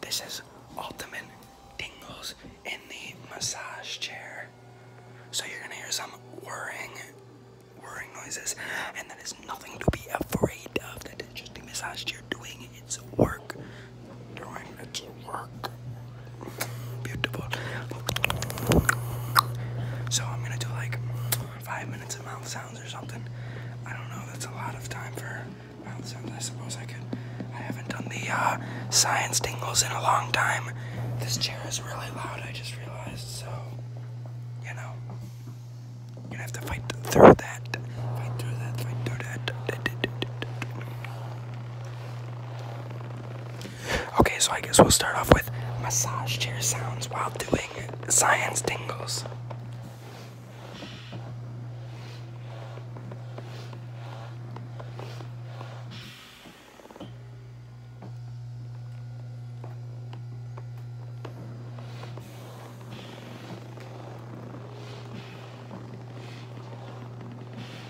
This is ultimate tingles in the massage chair. So you're gonna hear some whirring, whirring noises, and that is nothing to be afraid of. That is just the massage chair doing its work. Doing its work. Beautiful. So I'm gonna do like five minutes of mouth sounds or something. I don't know, that's a lot of time for mouth sounds. I suppose I could. I haven't done the uh, science dingles in a long time. This chair is really loud, I just realized, so, you know, you're gonna have to fight through that. Fight through that, fight through that. Okay, so I guess we'll start off with massage chair sounds while doing science tingles.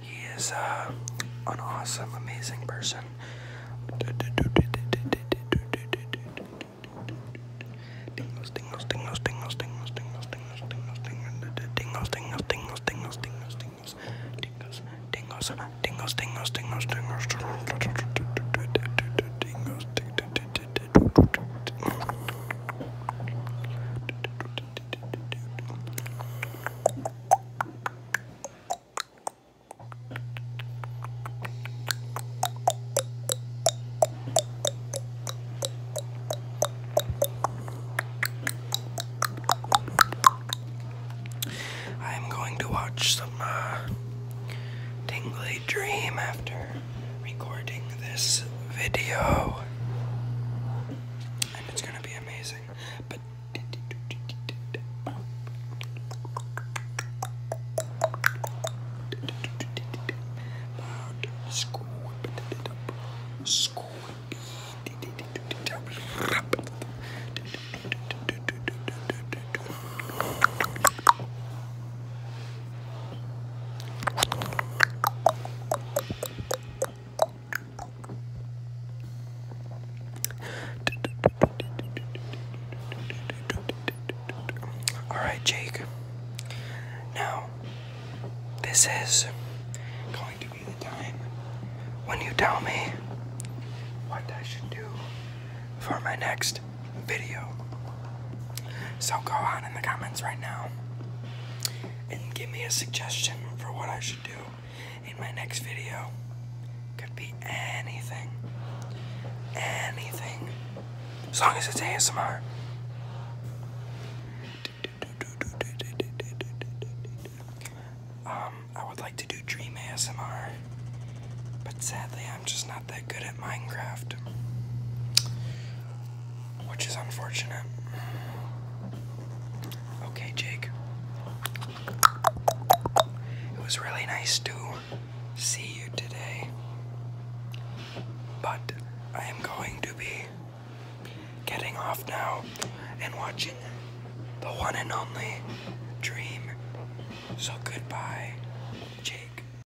He is uh, an awesome, amazing person. I am going to watch some uh, tingly dream after recording this video it's gonna be amazing. But Scoop it all right, Jake. Now, this is going to be the time when you tell me what I should do for my next video. So go on in the comments right now and give me a suggestion for what I should do in my next video. Could be anything. Anything. As long as it's ASMR. Um, I would like to do dream ASMR, but sadly I'm just not that good at Minecraft, which is unfortunate. Okay, Jake. It was really nice to see you today, but I am going to be getting off now and watching the one and only Dream. So goodbye, Jake.